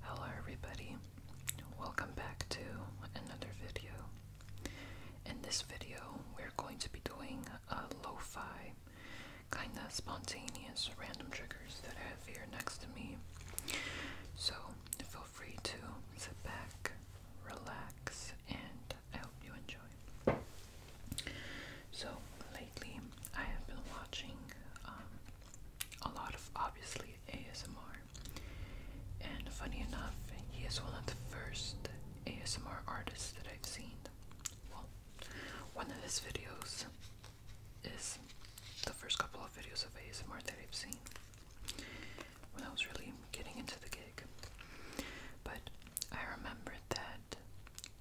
Hello everybody, welcome back to another video. In this video we're going to be doing a lo-fi, kinda spontaneous random triggers that I have here next to me. So feel free to sit back, relax, and I hope you enjoy. So lately I have been watching um, a lot of obviously ASMR. And funny enough, he is one of the first ASMR artists that I've seen. Well, one of his videos is the first couple of videos of ASMR that I've seen when I was really getting into the gig. But I remember that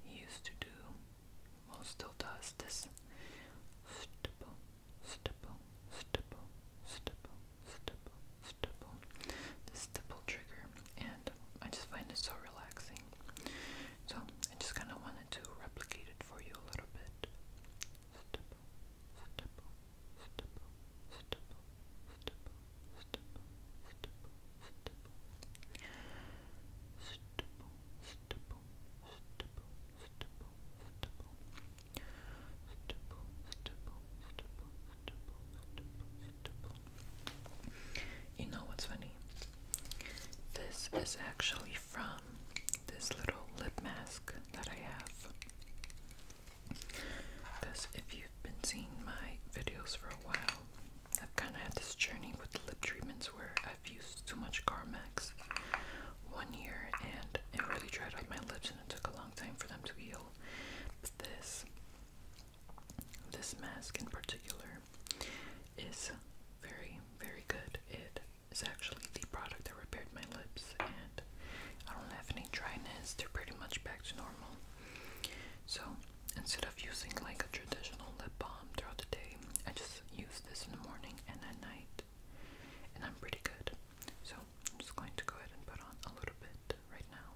he used to do, well, still does, this stipple, stipple, stipple, stipple, stipple. The stipple trigger, and I just find it so relaxing. So I just kind of wanted to replicate it for you a little bit. Stipple, stipple, stipple, stipple, stipple, stipple, stipple, stipple. Stipple, stipple, stipple, you know what's funny? This is actually from this little lip mask that I have. Because if you've been seeing my videos for a while, I've kind of had this journey with lip treatment where I've used too much Carmex one year and it really dried out my lips and it took a long time for them to heal. But this, this mask in particular, is very, very good. It is actually the product that repaired my lips and I don't have any dryness. They're pretty much back to normal. So instead of using like a traditional lip balm throughout the day, I just use this in the morning and at night. And I'm pretty good. So I'm just going to go ahead and put on a little bit right now.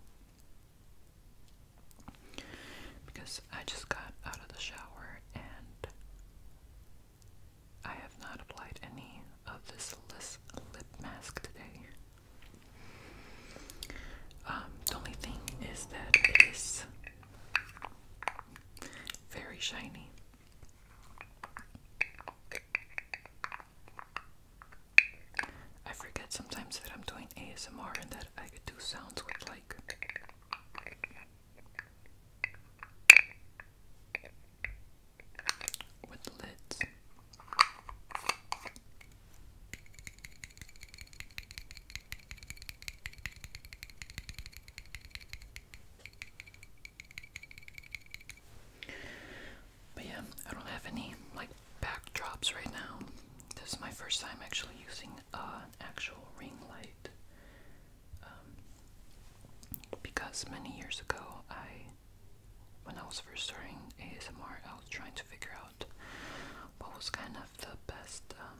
Because I just got out of the shower and I have not applied any of this lip mask today. Um, the only thing is that it is very shiny. I forget sometimes that I'm doing ASMR and that I could do sounds with like with lids. But yeah, I don't have any like backdrops right now. This is my first time actually using uh, an actual ring light. Um, because many years ago, I, when I was first starting ASMR, I was trying to figure out what was kind of the best um,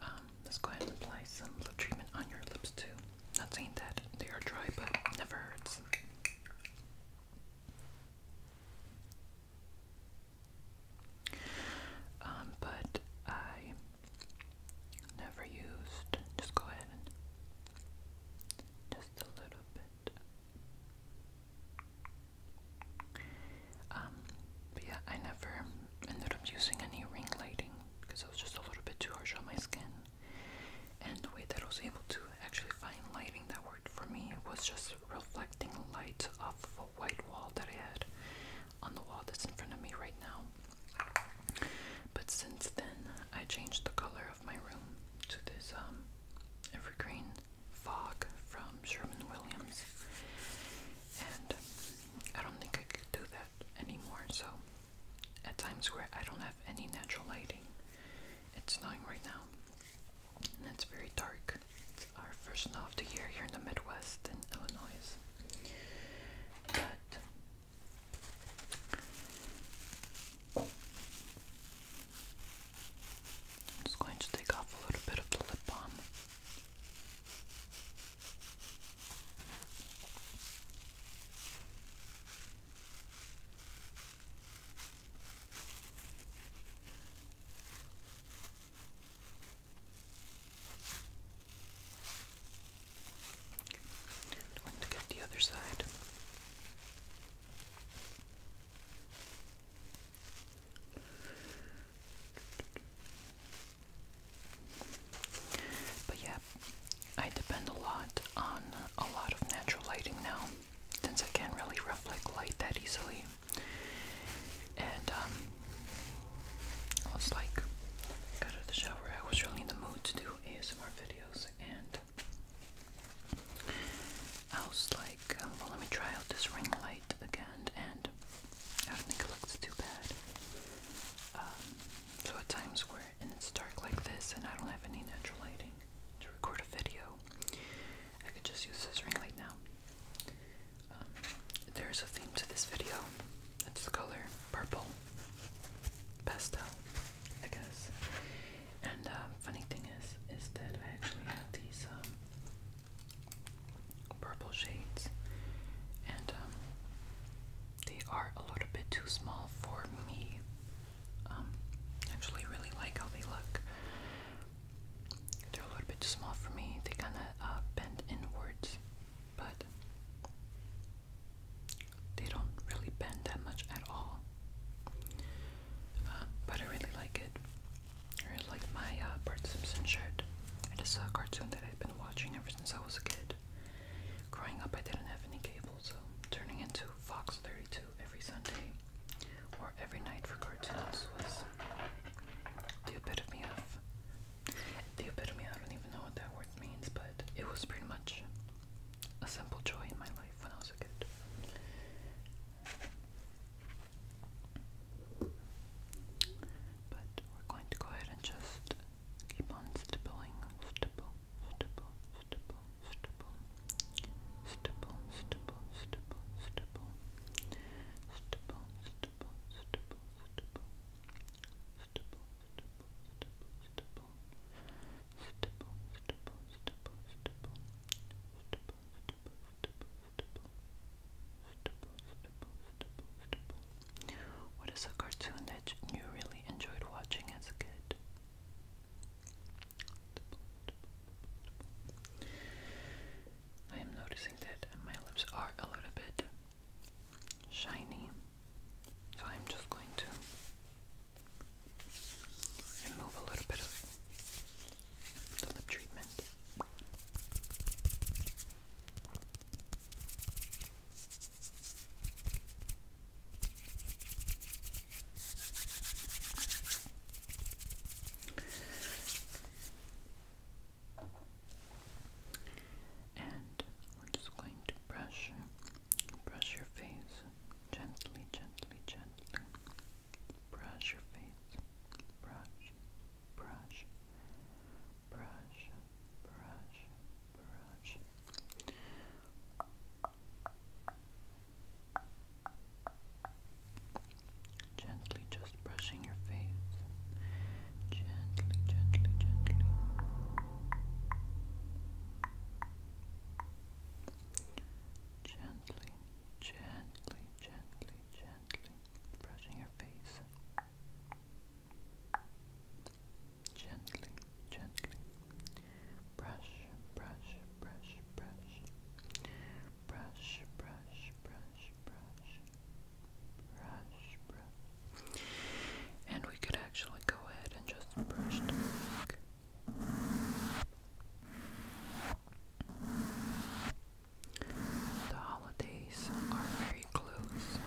Um, let's go ahead and apply some lip treatment on your lips too. Not saying that they are dry, but never hurts. Um, but I never used. Just go ahead and just a little bit. Um, yeah, I never ended up using any ring lighting because it was just a little bit too harsh on my skin. And the way that I was able to actually find lighting that worked for me was just reflecting light off of a white wall that I had on the wall that's in front of me right now. But since then, I changed the color my room to this um, evergreen fog from Sherman Williams, and I don't think I could do that anymore. So at Times Square, I don't have any natural lighting. It's snowing right now, and it's very dark. It's our first snow of the year here in the Midwest in Illinois, but I'm just going to take off a little bit of the lip balm. i going to get the other side. But yeah, I depend a lot on a lot of natural lighting now, since I can't really reflect light that easily. And um, I was like, out of the shower, I was really in the mood to do ASMR videos, and I was like, um, well, let me try out this ring light again, and I don't think it looks too bad. Um, so at times where and it's dark like this, and I don't have any natural lighting to record a video, I could just use this ring light now. Um, there's a theme to this video. It's the color purple pastel. I guess. And um, funny thing is, is that I actually have these um, purple shades, and um, they are a little bit too small for me. Um, actually, really like how they look. They're a little bit too small for me. They kind of uh, bend inwards, but they don't really bend that much at all. Uh, but I really like it. I really like my uh, Bart Simpson shirt. It is a cartoon that I've been watching ever since I was a kid. Growing up, I didn't have any cable, so turning into Fox 32 every Sunday or every night for cartoons was the epitome of. The epitome, I don't even know what that word means, but it was pretty much a simple joy in my life when I was a kid. But we're going to go ahead and just keep on stippling, stipple, stipple, stipple, stipple, stipple, stipple, stipple, stipple, stipple, stipple, stipple, stipple, stipple, stipple, stipple, stipple, what is a cartoon that you really enjoyed watching as a kid? I am noticing that my lips are a little bit shiny, so I'm just going to remove a little bit of the treatment. And we're just going to brush Brush your face gently, gently, gently. Brush your face. Brush, brush, brush, brush, brush. Gently, just brushing your face. Gently, gently, gently. Gently, gently, gently, gently brushing your face. Gently, gently. Brush, brush, brush, brush. Brush, brush, brush, brush. Brush, brush. And we could actually go ahead and just brush the holidays are very close.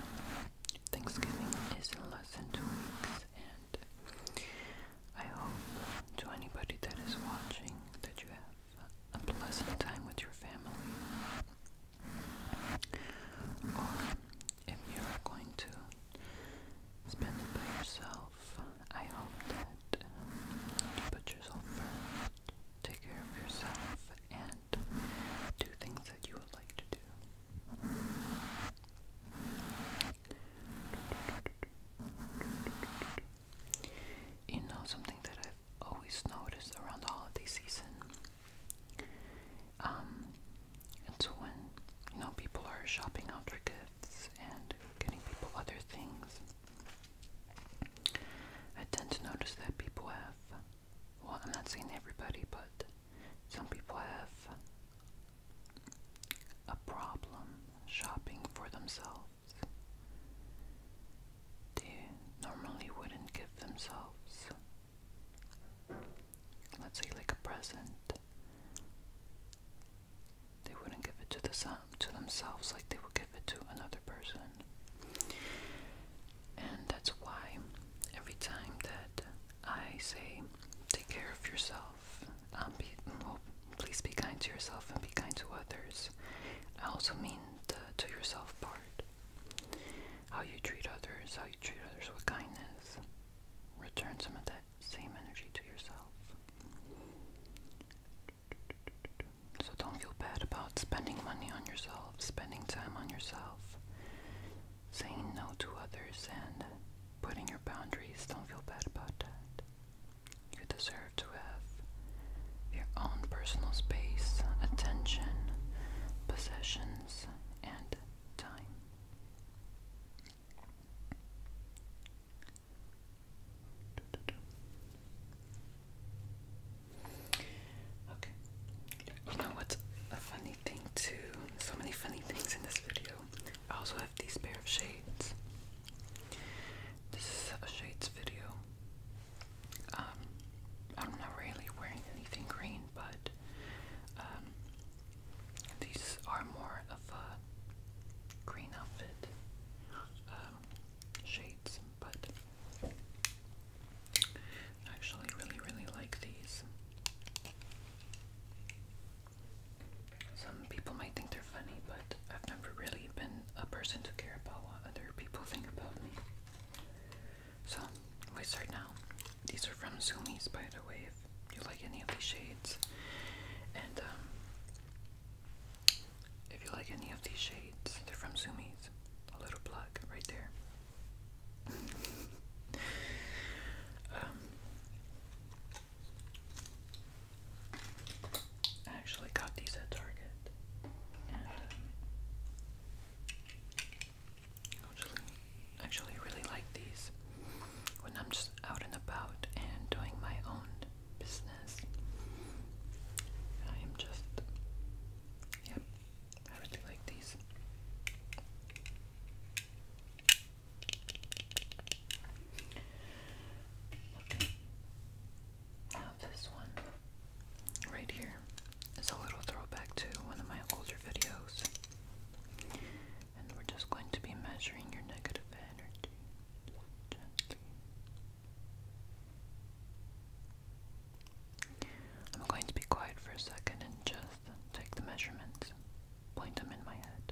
Thanksgiving is in less than two weeks, and I hope to anybody that is watching that you have a pleasant time with your family. Or if you are going to spend it by yourself. I hope that you put yourself first, take care of yourself, and do things that you would like to do. You know, something that I've always noticed around the holiday season um, and so when, you know, people are shopping out for gifts and getting people other things. I tend to notice that people have, well, I'm not seeing everybody, but some people have a problem shopping for themselves. They normally wouldn't give themselves let's say like a present, they wouldn't give it to the to themselves like they would give it to another person. And that's why every time that I say take care of yourself, um, be, please be kind to yourself and be kind to others. I also mean the to yourself part. How you treat others, how you treat others with kindness. Return some of that same energy to yourself. So don't feel bad about spending money on yourself, spending time on yourself, saying no to others, and putting your boundaries. Don't feel bad about that. You deserve to have your own personal space, attention, possessions, and time. Okay. You know what's a funny thing too? So many funny things in this video. I also have these pair of shades. This is a shades video. Um, I'm not really wearing anything green, but um, these are more of a green outfit um, shades, but actually really, really like these. Some people might think they're funny, but I've never really been a person to care about what other people think about me. So, we start now. These are from Zumi's, by the way, if you like any of these shades. And um, if you like any of these shades, they're from Zumi's. A little plug right there. Um, I actually got these at Target. Um, actually really like these when I'm just out and about and doing my own business. I am just, yep, I really like these. Okay. this one right here is a little throwback to one of my older videos. And we're just going to be measuring your negative energy I'm going to be quiet for a second and just take the measurements, point them in my head.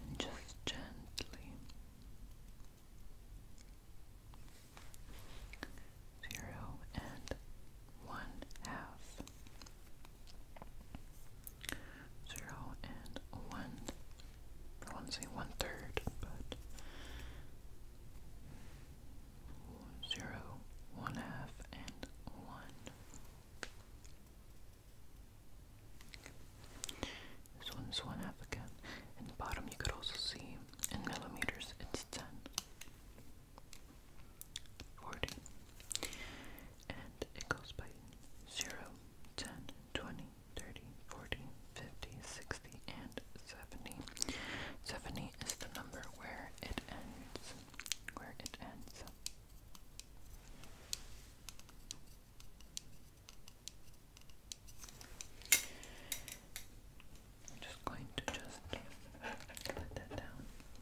And just gently zero and one half. Zero and one. I want say one third, but zero, one half, and one. This one's one half again. In the bottom, you could also see in millimeters it's ten. 40. And it goes by 0, 10, 20, 30, 40, 50, 60, and 70. 70 is the number where it ends. Where it ends. I'm just going to just let that down.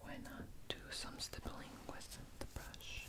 Why not do some stippling with the brush?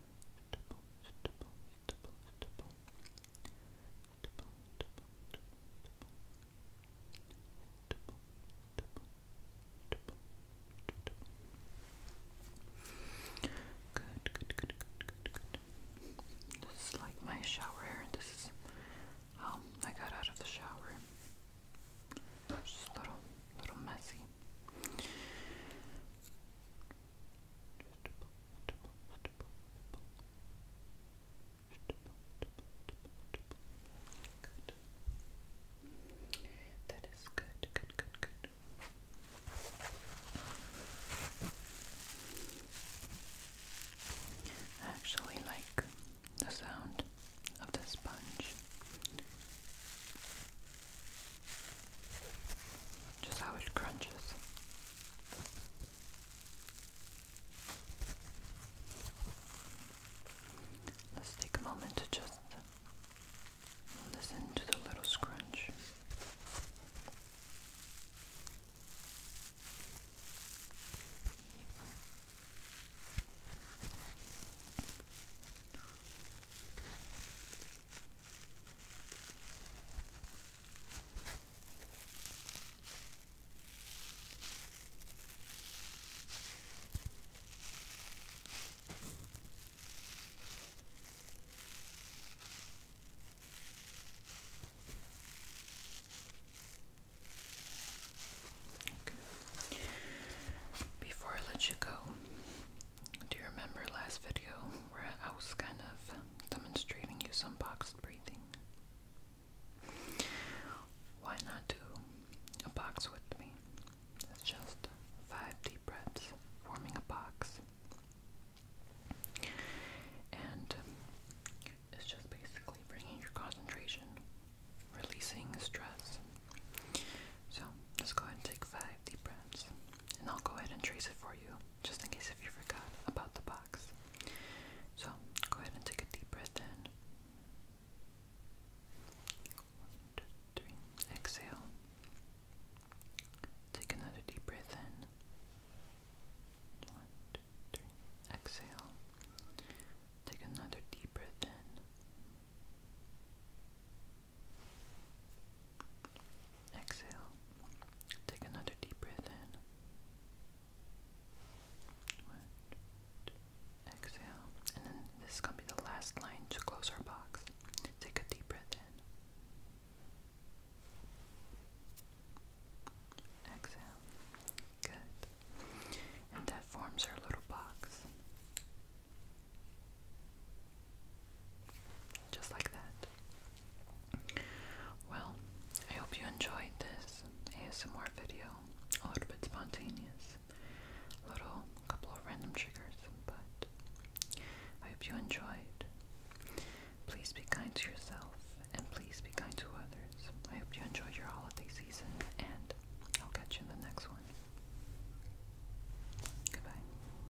This is like my shower here. This is how um, I got out of the shower. Just a little, little messy. Good. That is good, good, good, good. I actually like the sound of the sponge. Just how it crunches. Let's take a moment to just listen to the little scrunch. Before I let you go, do you remember last video where I was kind of demonstrating you some box breathing? Why not do a box with me? It's just five deep breaths forming a box. And it's just basically bringing your concentration, releasing stress. So, let's go ahead and take five deep breaths. And I'll go ahead and trace it for you just in case if you forgot about the box. So go ahead and take a deep breath in. One, two, three. Exhale. Take another deep breath in. One, two, three. Exhale. Take another deep breath in. Exhale. Take another deep breath in. exhale. And then this is going to be the last line to close our box. Take a deep breath in. Exhale. Good. And that forms our little box. Just like that. Well, I hope you enjoyed this ASMR video. A little bit spontaneous. A little couple of random triggers, but I hope you enjoyed. Please be kind to yourself and please be kind to others. I hope you enjoyed your holiday season and I'll catch you in the next one. Goodbye.